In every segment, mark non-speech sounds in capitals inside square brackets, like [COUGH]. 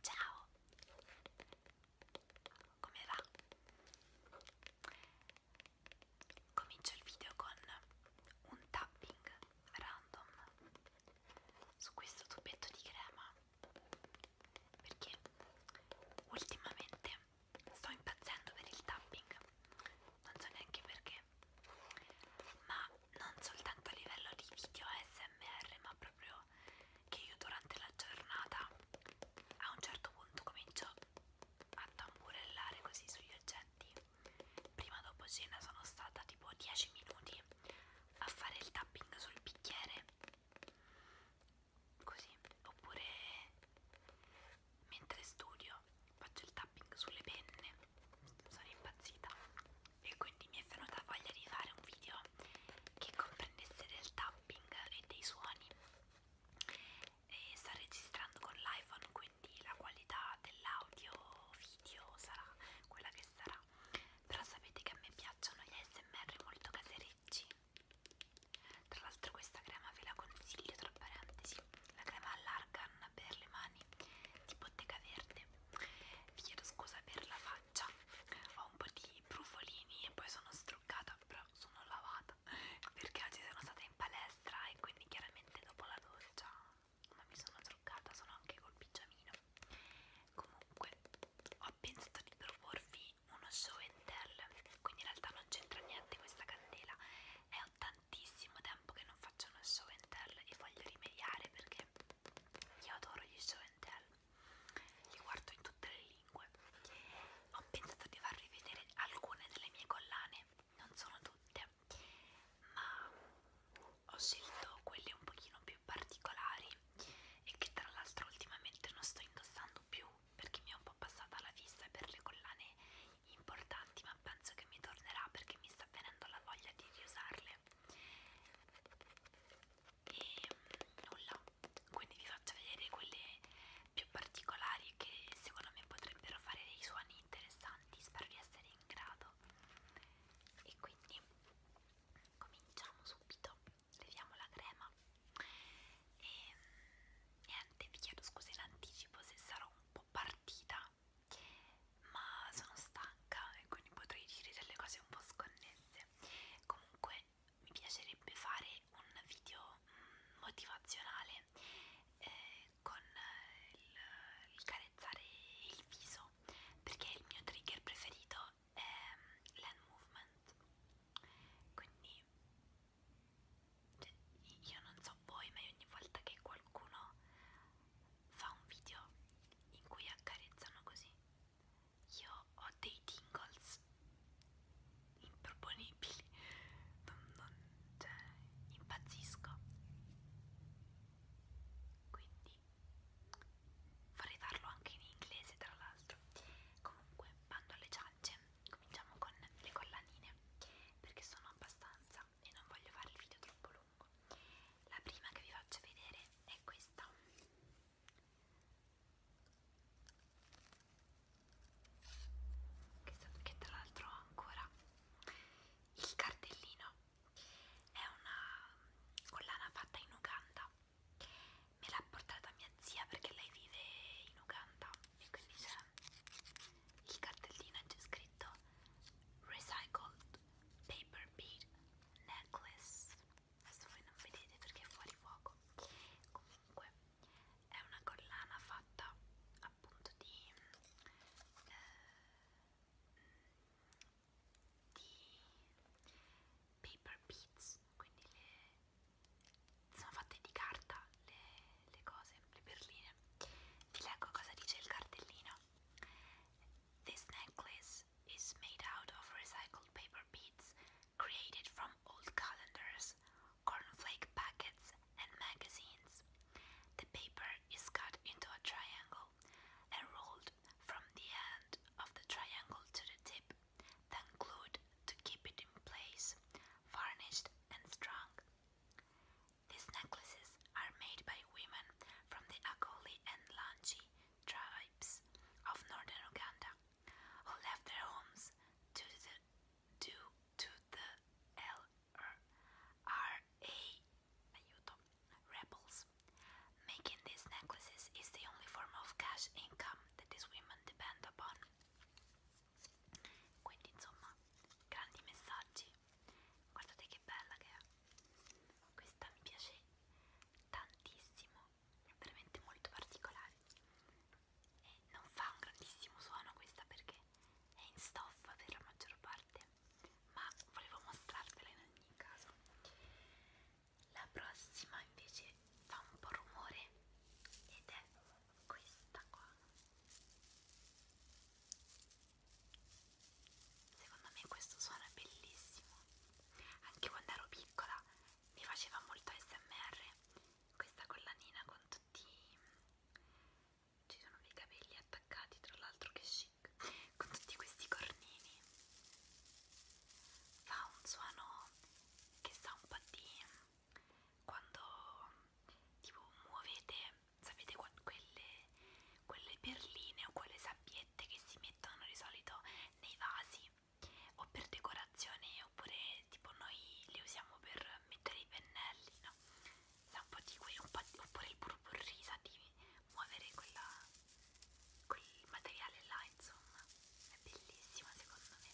Ciao! Come va? Comincio il video con un tapping random su questo tubetto di crema perché ultimamente sto impazzendo per il tapping, non so neanche perché, ma non soltanto a livello di video ASMR ma proprio che io durante la giornata a un certo punto comincio a tamburellare così sugli oggetti prima dopo cena sono stata tipo 10 minuti a fare il tapping sul bicchiere così oppure mentre studio faccio il tapping sulle penne sono impazzita e quindi mi è venuta voglia di fare un video che comprendesse del tapping e dei suoni e sto registrando con l'iPhone quindi la qualità dell'audio video sarà quella che sarà però sapete che a me piacciono gli ASMR molto caserecci tra l'altro questa crema ve la consiglio tra parentesi la crema all'argan per le mani di bottega verde vi chiedo scusa per la faccia ho un po' di brufolini e poi sono struccata però sono lavata [LAUGHS] perché oggi sono stata in palestra e quindi chiaramente dopo la doccia ma mi sono truccata sono anche col pigiamino comunque ho pensato di proporvi uno show and tell quindi in realtà non c'entra niente questa candela è ottantissimo ed è tempo che non faccio uno show and tell e voglio rimediare perché io adoro gli show and tell, li guardo in tutte le lingue. Ho pensato di farvi vedere alcune delle mie collane, non sono tutte, ma ho scelto quelle un pochino più particolari e che tra l'altro ultimamente non sto indossando più perché mi è un po' passata la vista per le collane importanti ma penso che mi tornerà perché mi sta venendo la voglia di riusarle e mm, nulla quindi vi faccio vedere quelle più particolari che secondo me potrebbero fare dei suoni interessanti spero di essere in grado e quindi cominciamo subito leviamo la crema e mm, niente vi chiedo scusa in anticipo se sarò un po' partita ma sono stanca e quindi potrei dire delle cose un po' sconnesse. Comunque mi piacerebbe fare un video mm, motivazionale eh, con eh, il, il carezzare il viso perché il mio trigger preferito è mm, l'hand movement. Quindi cioè, io non so voi, ma ogni volta che qualcuno fa un video in cui accarezzano così. Io ho dei tingles improponibili, non, non, cioè, impazzisco. Quindi vorrei farlo anche in inglese, tra l'altro. Comunque, bando alle ciance, cominciamo con le collanine perché sono abbastanza e non voglio fare il video troppo lungo la prima che vi faccio vedere è questa che tra l'altro ho ancora il cartellino è una collana fatta in Uganda me l'ha portata mia zia perché lei vive in Uganda e quindi c'è il cartellino e c'è scritto recycled paper bead necklace adesso voi non vedete perché è fuori fuoco comunque è una collana fatta appunto di eh, di paper beads quindi le, sono fatte di carta le, le cose, le perline vi leggo cosa dice il cartellino This necklace is made out of recycled paper beads created from old calendars, cornflake packets, and magazines. The paper is cut into a triangle and rolled from the end of the triangle to the tip, then glued to keep it in place, varnished and strung. These necklaces are made by women from the Akoli and Langi tribes of northern Uganda, who left their homes to the, due to the LRA rebels. Making these necklaces is the only form of cash income that these women depend upon. Quindi insomma, grandi messaggi guardate che bella che è questa mi piace tantissimo è veramente molto particolare e non fa un grandissimo suono questa perché è in stoffa per la maggior parte ma volevo mostrarvela in ogni caso la prossima invece fa un po' rumore ed è questa qua Secondo me questo suono è bellissimo. Anche quando ero piccola mi faceva molto ASMR questa collanina con tutti ci sono dei capelli attaccati, tra l'altro che chic, con tutti questi cornini. Fa un suono che sa un po' di quando tipo muovete sapete quelle, quelle perline o quelle sabbiette che si mettono di solito nei vasi o per decorazione oppure tipo noi le usiamo per mettere i pennelli no? Sa un po' di quello, oppure il burburri sa di muovere quella, quel materiale là insomma è bellissima secondo me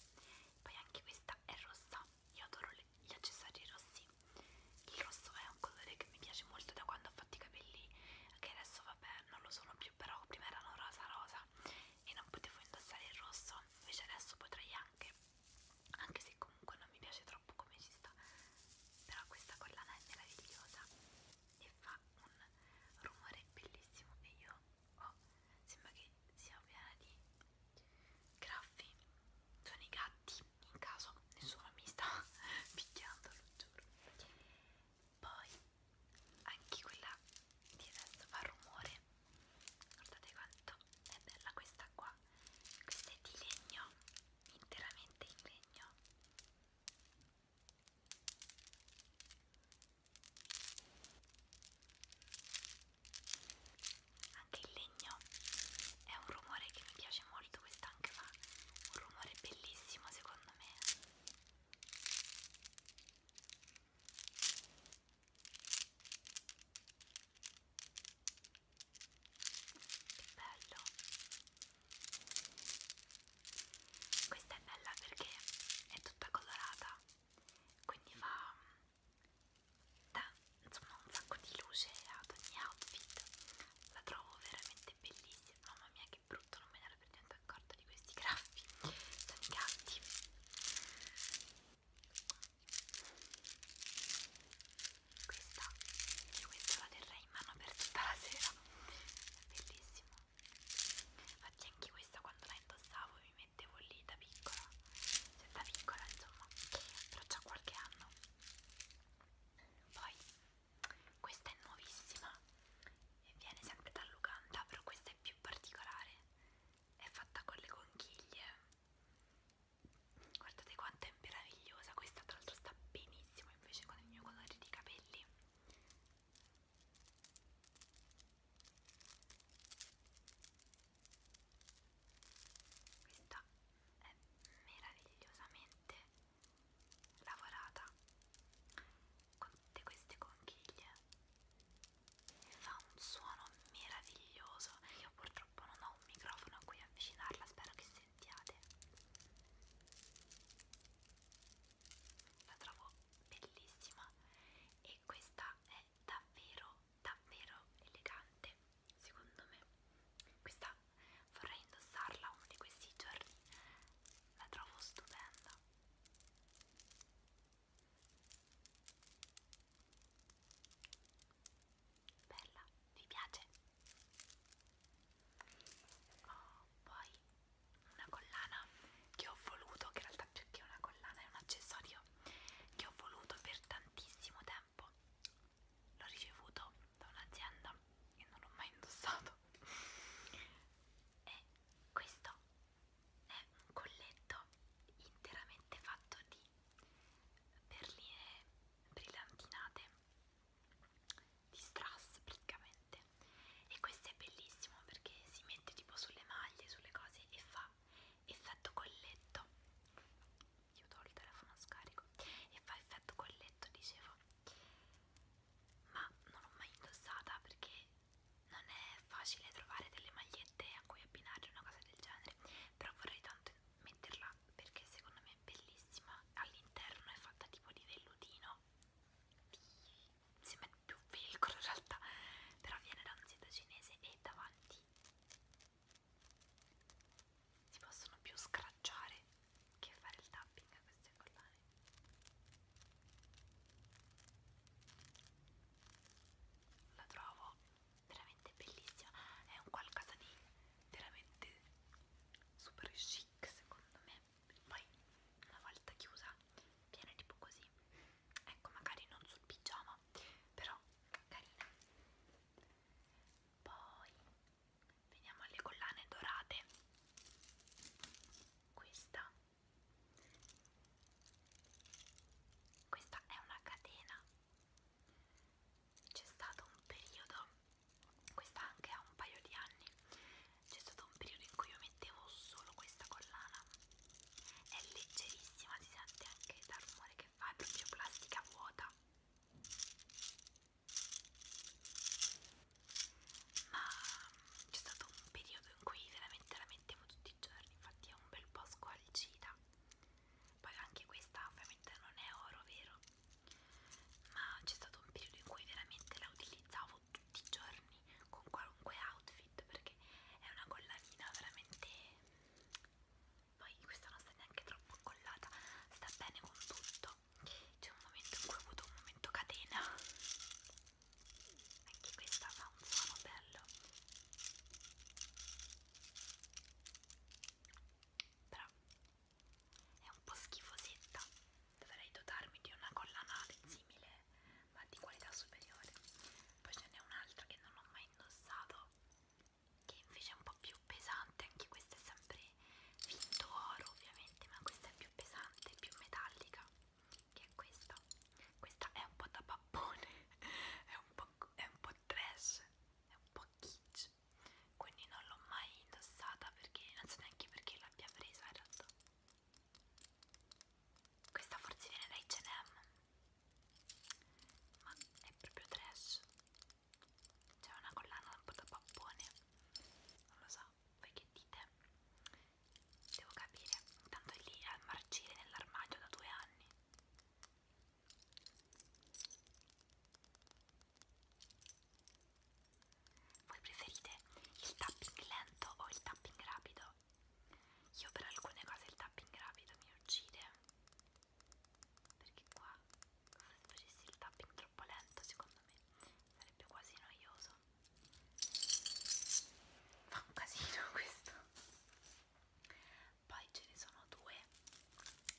poi anche questa è rossa io adoro le, gli accessori rossi il rosso è un colore che mi piace molto da quando ho fatto i capelli che adesso vabbè non lo sono più però prima erano rosa rosa e non potevo indossare il rosso invece adesso potrei anche anche se comunque non mi piace troppo come ci sta però questa collana è meravigliosa e fa un rumore bellissimo e io ho oh, sembra che sia piena di graffi sono i gatti in caso nessuno mi sta [LAUGHS] picchiando lo giuro poi anche quella di adesso fa rumore guardate quanto è bella questa qua questa è di legno interamente in legno anche il legno è un rumore che mi piace molto questa anche fa un rumore bellissimo secondo me che bello questa è bella perché è tutta colorata quindi fa dà insomma un sacco di luce ad ogni outfit la trovo veramente bellissima mamma mia che brutto non me ne ero per niente accorta di questi graffi sono i gatti questa io questa la terrei in mano per tutta la sera è bellissimo infatti anche questa quando la indossavo mi mettevo lì da piccola cioè da piccola insomma però già qualche anno poi questa è nuovissima e viene sempre dall'Uganda però questa è più particolare è fatta con le conchiglie guardate quanto è meravigliosa questa tra l'altro sta benissimo invece con il mio colore di capelli questa è meravigliosamente lavorata con tutte queste conchiglie fa un suono meraviglioso io purtroppo non ho un microfono a cui avvicinarla spero che sentiate la trovo bellissima e questa è davvero davvero elegante secondo me questa vorrei indossarla uno di questi giorni la trovo stupenda bella vi piace oh, poi una collana che ho voluto che in realtà più che una collana è un accessorio che ho voluto per tantissimo tempo campo l'ho ricevuto da un'azienda e non l'ho mai indossato e questo è un colletto interamente fatto di perline brillantinate di strass praticamente e questo è bellissimo perché si mette tipo sulle maglie, sulle cose e fa effetto colletto chiudo il telefono a scarico e fa effetto colletto dicevo ma non l'ho mai indossata perché non è facile trovare delle magliette a cui abbinare una cosa del genere però vorrei tanto metterla perché secondo me è bellissima all'interno è fatta tipo di vellutino di... sembra più velcro in realtà però viene da un sito cinese e davanti si possono più scracciare che fare il tapping a queste collane la trovo veramente bellissima è un qualcosa di veramente super chic secondo me poi una volta chiusa viene tipo così ecco magari non sul pigiama però carina poi veniamo alle collane dorate questa questa è una catena c'è stato un periodo questa anche ha un paio di anni c'è stato un periodo in cui io mettevo solo questa collana è leggerissima si sente anche dal rumore che che fa è proprio plastica vuota ma c'è stato un periodo in cui veramente la mettevo tutti i giorni infatti è un bel po' squalcita poi anche questa ovviamente non è oro vero ma c'è stato un periodo in cui veramente la utilizzavo tutti i giorni con qualunque outfit perché è una collanina veramente poi questa non sta neanche troppo accollata, sta bene con tutto. C'è un momento in cui ho avuto un momento catena. Anche questa fa un suono bello. Però è un po' schifosetta. Dovrei dotarmi di una colla anale simile, ma di qualità superiore. Poi ce n'è un'altra che non ho mai indossato che invece è un po' più pesante, anche questo è sempre finto oro ovviamente, ma questa è più pesante, più metallica, che è questa. Questa è un po' da pappone, [LAUGHS] è un po', è un po trash, è un po' kitsch, quindi non l'ho mai indossata perché non so neanche perché l'abbia presa in realtà. Questa forse viene da H&M ma è proprio trash c'è una collana un po' da pappone non lo so, voi che dite? devo capire intanto è lì a marcire nell'armadio da due anni voi preferite il tapping lento o il tapping rapido? io per alcune cose il tapping rapido mi uccide perché qua se facessi il tapping troppo lento secondo me sarebbe quasi noioso fa un casino [LAUGHS] questo poi ce ne sono due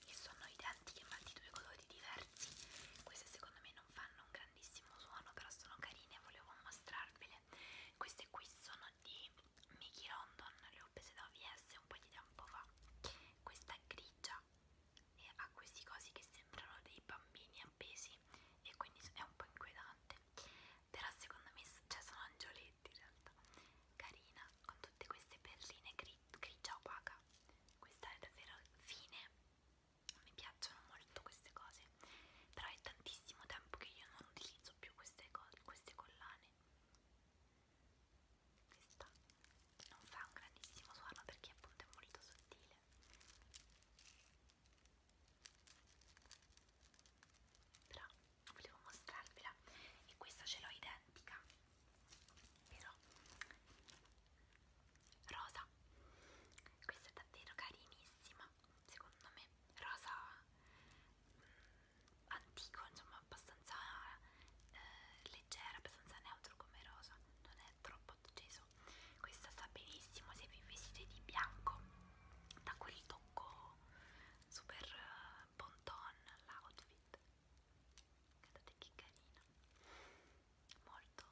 che sono identiche ma di due colori diversi queste secondo me non fanno un grandissimo suono però sono carine volevo mostrarvele queste qui sono di Mickey London le ho prese da VS un po' di tempo fa questa è grigia e ha questi cosi che sembrano dei bambini appesi e quindi è un po' inquietante però secondo me cioè sono angioletti in realtà carina con tutte queste perline gri grigia opaca questa è davvero fine mi piacciono molto queste cose però è tantissimo tempo che io non utilizzo utilizzo più queste, queste collane questa non fa un grandissimo suono perché appunto è molto sottile però volevo mostrarvela e questa ce l'ho identica però rosa questa è davvero carinissima secondo me rosa mm, antico, insomma abbastanza eh, leggera, abbastanza neutro come rosa, non è troppo acceso. Questa sta benissimo se vi vestite di bianco, da quel tocco super eh, bon ton l'outfit. Guardate che carina, molto,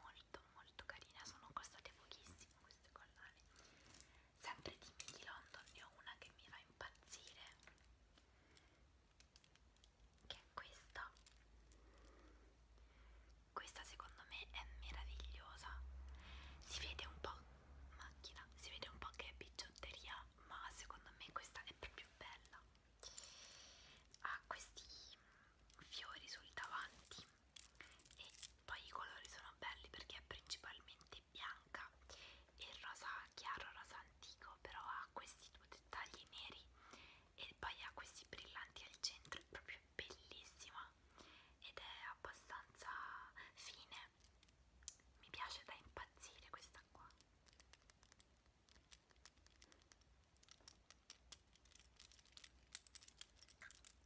molto, molto carina. Sono costate pochissimo queste collane sempre di Milly London ne ho una che mi fa impazzire che è questa questa secondo me è meravigliosa si vede un po' macchina si vede un po' che è bigiotteria ma secondo me questa è proprio bella ha questi fiori sul davanti e poi i colori sono belli perché è principalmente bianca e rosa chiaro, rosa antico, però ha questi due dettagli neri e poi ha questi brillanti al centro, è proprio bellissima ed è abbastanza fine, mi piace da impazzire questa qua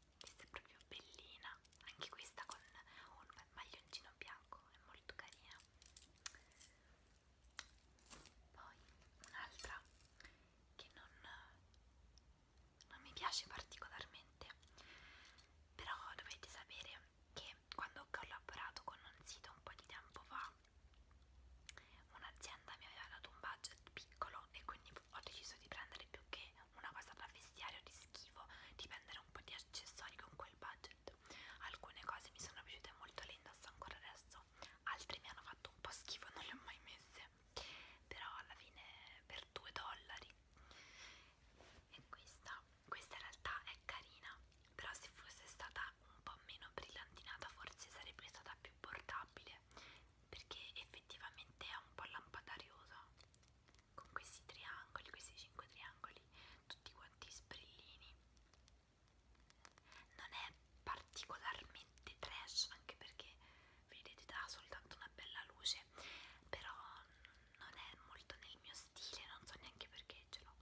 questa è proprio bellina anche questa con un maglioncino bianco è molto carina poi un'altra che non, non mi piace particolarmente però dovete sapere che quando ho collaborato con un sito un po' di tempo fa un'azienda mi aveva dato un budget piccolo e quindi ho deciso di prendere più che una cosa da vestiario di schifo, di prendere un po' di accessori con quel budget. Alcune cose mi sono piaciute molto, le indosso ancora adesso, altre mi hanno fatto un po' schifo, non le ho mai messe. Però alla fine per 2 dollari. E questa, questa in realtà è carina, però se fosse stata un po' meno brillantinata forse sarebbe stata più portabile perché effettivamente è un po' lampadariusa con questi triangoli, questi 5 triangoli, tutti quanti sprillini. Non è particolarmente trash, anche perché vedete dà soltanto una bella luce, però non è molto nel mio stile, non so neanche perché ce l'ho.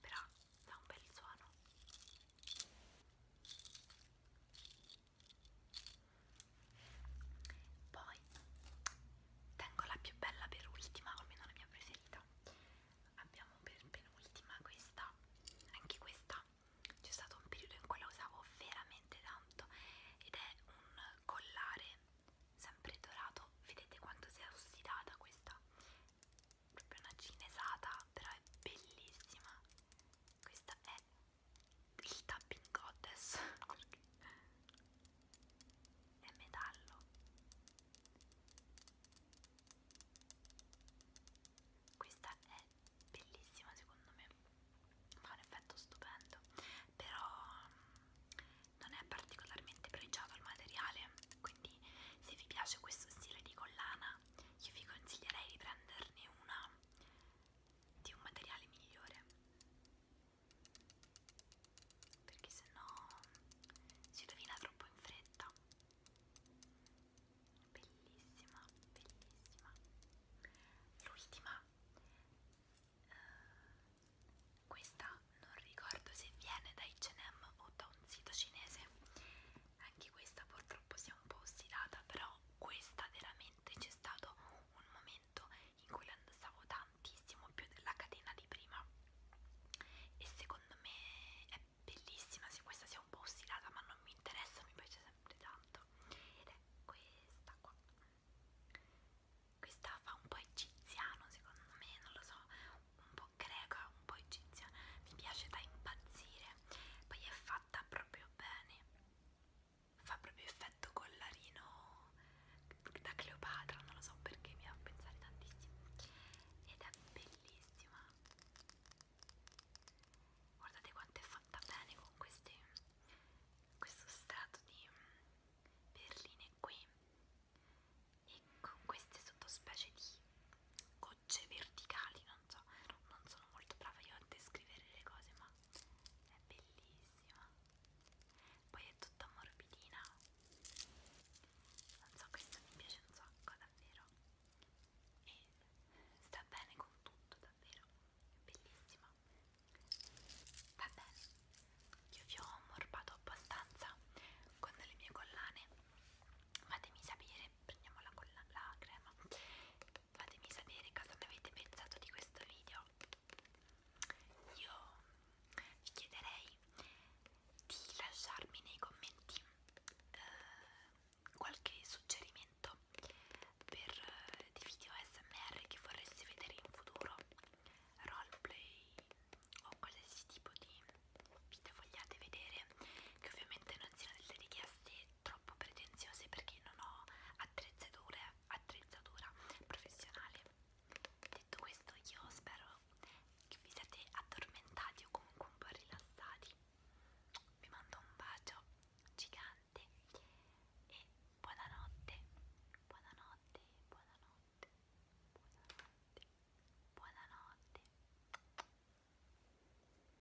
però dà un bel suono. Poi tengo la più bella per ultima, o almeno la mia preferita. Abbiamo per penultima questa, anche questa. C'è stato un periodo in cui la usavo veramente tanto ed è un collare sempre dorato. Vedete quanto si è ossidata questa? Proprio una cinesata, però è bellissima. Questa è il tapping goddess perché è metallo questa è bellissima secondo me fa un effetto stupendo però mm, non è particolarmente pregiato il materiale quindi se vi piace questo stile di collana io vi consiglierei di prenderne una di un materiale migliore perché sennò si rovina troppo in fretta bellissima bellissima l'ultima uh, questa non ricordo se viene da H&M o da un sito cinese anche questa purtroppo si è un po' ossidata però questa veramente sicuramente c'è stato un momento in cui l'andavo tantissimo più della catena di prima e secondo me è bellissima se questa sia un po' ossidata ma non mi interessa, mi piace sempre tanto ed è questa qua questa fa un po' egiziano secondo me, non lo so un po' greca, un po' egiziana mi piace da impazzire poi è fatta proprio bene fa proprio effetto collarino da Cleopatra, non lo so perché mi fa pensare tantissimo ed è bellissima guardate quanto è fatta bene con queste, questo strato di perline qui e con queste sottospecie di gocce verticali, non non so, non sono molto brava io a descrivere le cose, ma è bellissima. Poi è tutta morbidina. Non so, questa mi piace un sacco, davvero. E sta bene con tutto, davvero. È bellissima. Va bene, io vi ho ammorbato abbastanza con le mie collane. Fatemi sapere, prendiamo la, colla la crema fatemi sapere cosa ne avete pensato di questo video io vi chiederei di lasciarmi nei commenti eh, qualche suggerimento per eh, dei video smr che vorresti vedere in futuro roleplay o qualsiasi tipo di video vogliate vedere che ovviamente non siano delle richieste troppo troppo pretenziose perché non ho attrezzatura professionale. Detto questo, io spero che vi siate addormentati o comunque un po' rilassati. Vi mando un bacio gigante e buonanotte, buonanotte, buonanotte, buonanotte, buonanotte.